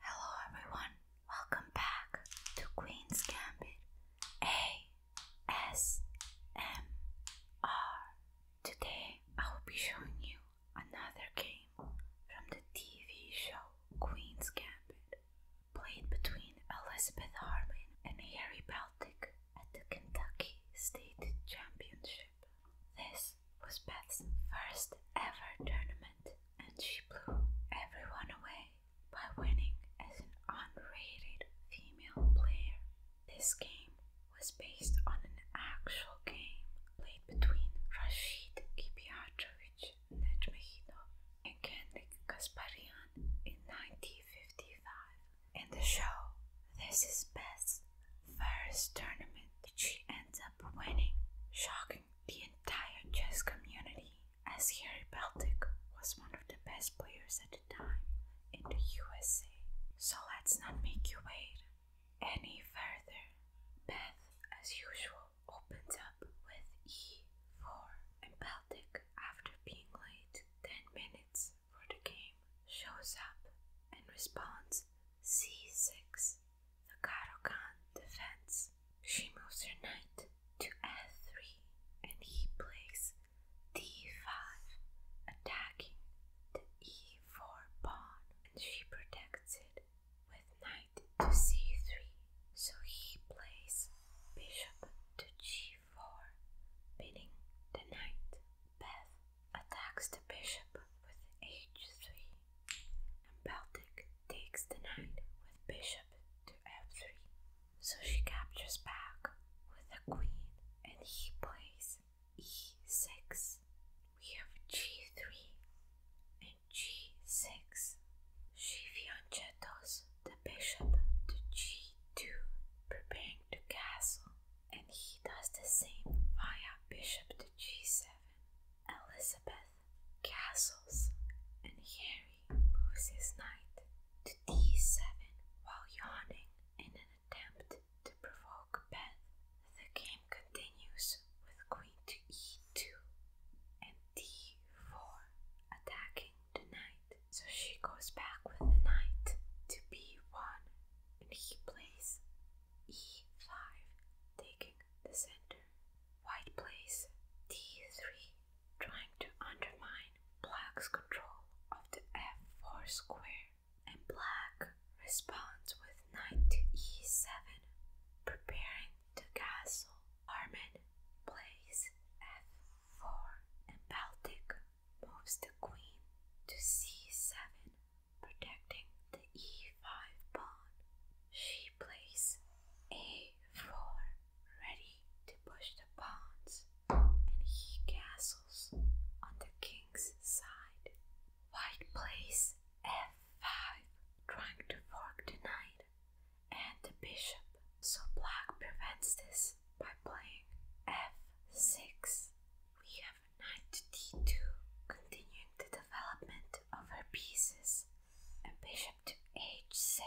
Hello everyone, welcome back to Queen's Gambit ASMR. Today I will be showing you another game from the TV show Queen's Gambit, played between Elizabeth Harmon and Harry Baltic at the Kentucky State Championship. This this was Beth's first ever tournament, and she blew everyone away by winning as an unrated female player. This game was based on an actual game played between Rashid Kipiachovic Nejmehidov and Kendrick Kasparian in 1955. In the show, this is Beth's first tournament that she ends up winning, shocking the entire chess community, as Harry Baltic was one of the best players at the time in the USA. So let's not make you wait any further. Beth, as usual, opens up with e4, and Baltic, after being late 10 minutes for the game, shows up and responds c6 the Karokan defends. She moves her knight to f3 and he plays d5, attacking the e4 pawn, and she protects it with knight to c3. So he plays bishop to g4, pinning the knight. Beth attacks the bishop with h3, and Baltic takes the knight with bishop to f3. So she captures back with the queen, and he plays e6. We have g3 and g6. She fianchettos the bishop to g2, preparing to castle and he does the same via bishop to g7, Elizabeth castles, and Harry moves his knight to d7 while yawning in an attempt to provoke Beth. The game continues with queen to e2 and d4 attacking the knight, so she goes back with the knight to b1 and he plays e5, taking the center. White plays d3, trying to undermine black's control of the f4 square, and black responds with knight e7, preparing to castle. Armin plays f4, and Baltic moves the queen to c7, protecting the e5 pawn, she plays a4, ready to push the pawns, and he castles on the king's side. White plays f5, trying to fork the knight and the bishop, so black prevents this by playing f6 knight d2, continuing the development of her pieces, and bishop to h6,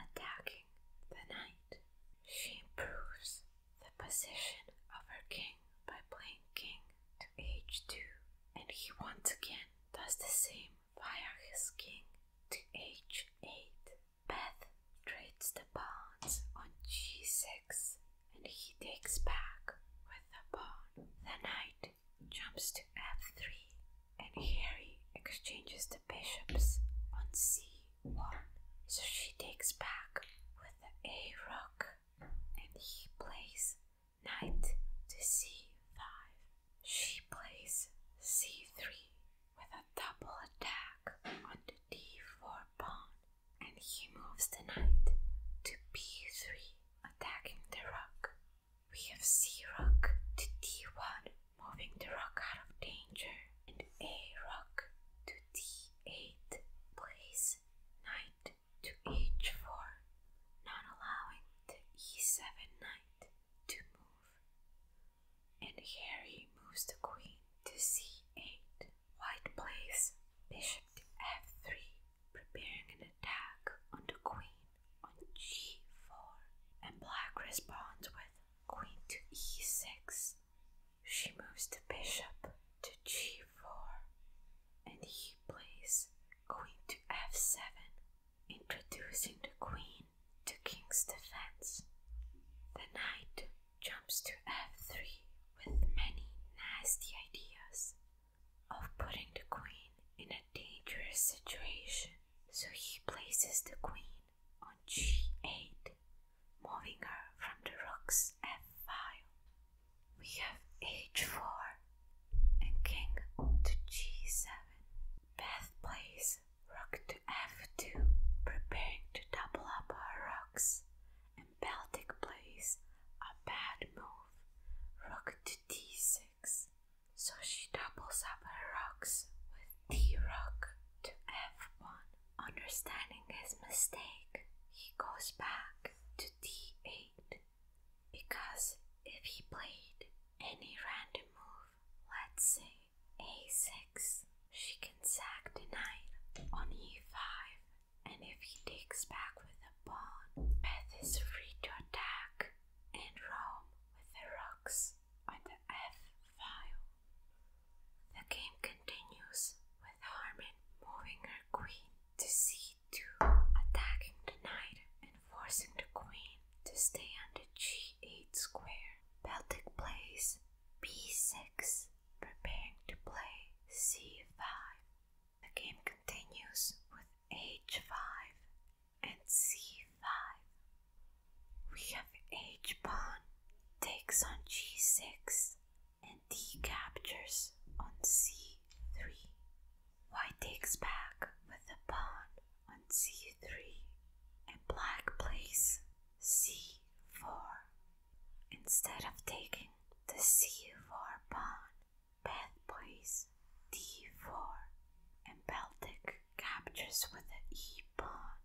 attacking the knight. She improves the position of her king by playing king to h2, and he once again does the same via his king to h8. Beth trades the pawns on g6 and he takes back with the pawn. The knight jumps to f3 and Harry exchanges the bishops on c1. So she takes back with the a rook and he plays knight to c5. She plays c3 with a double attack on the d4 pawn, and he moves the knight to b3, attacking the rook. We have c rook to d1, moving the rook out of danger, and a rook to d8 plays knight to h4, not allowing the e7 knight to move move. And Harry moves the queen to c8. White plays bishop to f3, preparing an attack on the queen on g4. And black responds with queen to e6. She moves the bishop to g4, and he plays queen to f7, introducing the queen to King's defense. The knight jumps to f3 with many nasty ideas of putting the queen in a dangerous situation. So he places the queen on g8, moving her from the rook's f file. We have h4 and king to g7. Beth plays takes rook to f2, preparing to double up our rooks. And Baltic plays a bad move, rook to d6, so she doubles up her rooks with d rook to f1. Understanding his mistake, he goes back to d8 because if he played any random move, let's say a6. She can sack the knight on e5, and if he digs back with a pawn, Beth is free to attack and roam with the rooks on the f file. The game continues with Harmon moving her queen to c2, attacking the knight forcing the queen to stay on the g8 square. Baltic plays b6, preparing to play c5. The game continues with h5 and c5. We have h pawn takes on g6 and d captures on c3. White takes back with the pawn on c3 and black plays c4. Instead of taking the c4 pawn, Beth plays d4 and Baltic captures with the e pawn.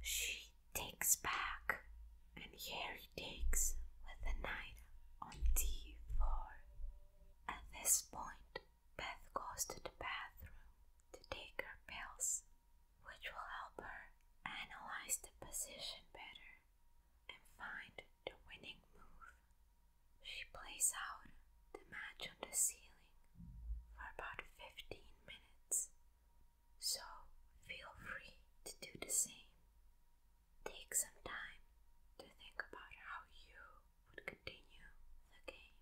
She takes back and here he takes with the knight on d4. At this point, Beth goes to the bathroom to take her pills, which will help her analyze the position better and find the winning move. She plays out the match on the ceiling for about 15 minutes, so feel free to do the same. Take some time to think about how you would continue the game.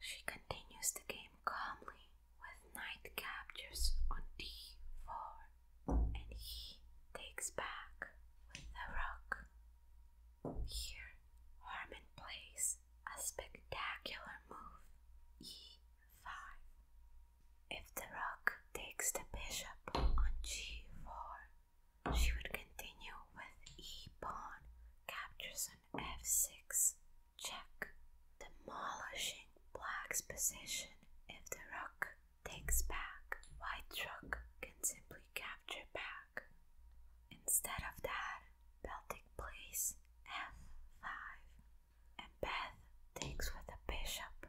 She continues the game calmly with knight captures on d4 and he takes back with the rock. Here, Harmon plays a spectacular move, e5. If the rook takes the bishop on g4, she would continue with e pawn, captures on f6, check, demolishing Black's position if the rook takes back. White rook can simply capture back. Instead of that, Baltic plays f5 and Beth takes with a bishop.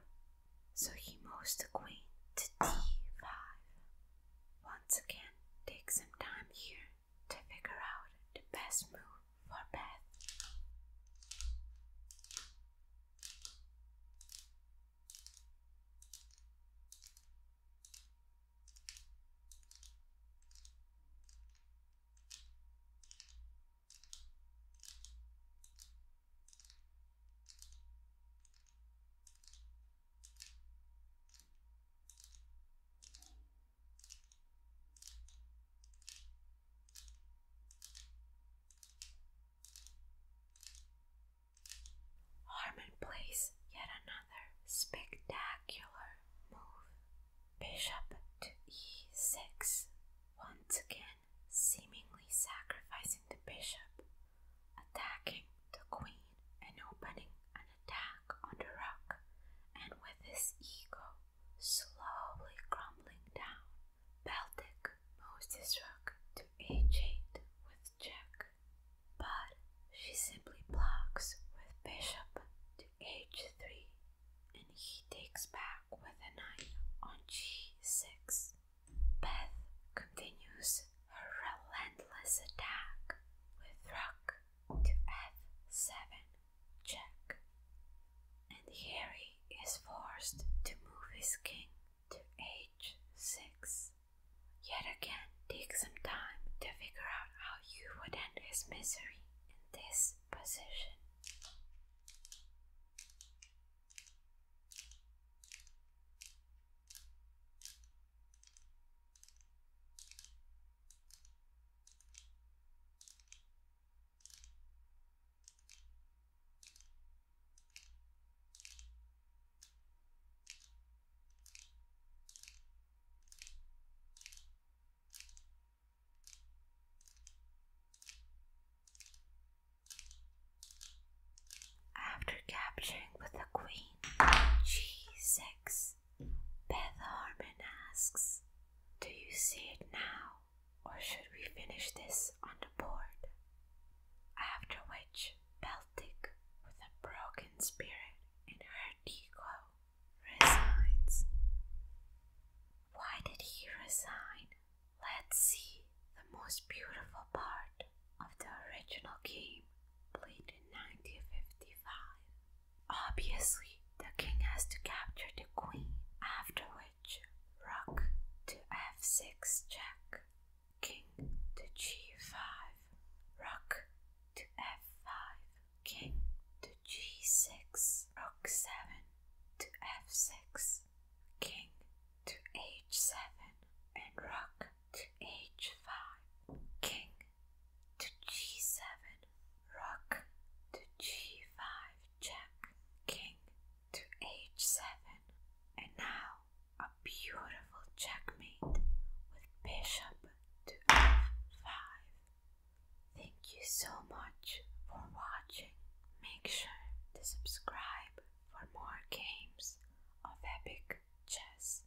So he moves the queen to d5. Once again, take some time here to figure out the best move for bath. Harmon plays yet another spectacular move. Bishop to e6, once again seemingly sacrificing the bishop, attacking the queen and opening an attack on the rook, and with his ego slowly crumbling down. Baltic moves his rook to h8 with check, but she simply blocks with bishop to h3 and he takes back with a knight on g6. Beth continues her relentless attack with rook to f7 check, and Harry is forced to move his king to h6. Yet again, take some time to figure out how you would end his misery in this position. After capturing with the queen, g6 Beth Harmon asks, Do you see it now, or should we finish this on the board? After which, Baltic, with a broken spirit in her ego, resigns. Why did he resign? Let's see the most beautiful part of the original game played in 1955. Obviously, the king has to capture the queen, after which, rook to f6 check, king to g5, rook to f5, king to g6, rook 7 to f6, king to h7, and rook to h5, king to g7, rook to g5, check, king to h7, and now a beautiful checkmate with bishop to f5. Thank you so much for watching. Make sure to subscribe for more games of epic chess.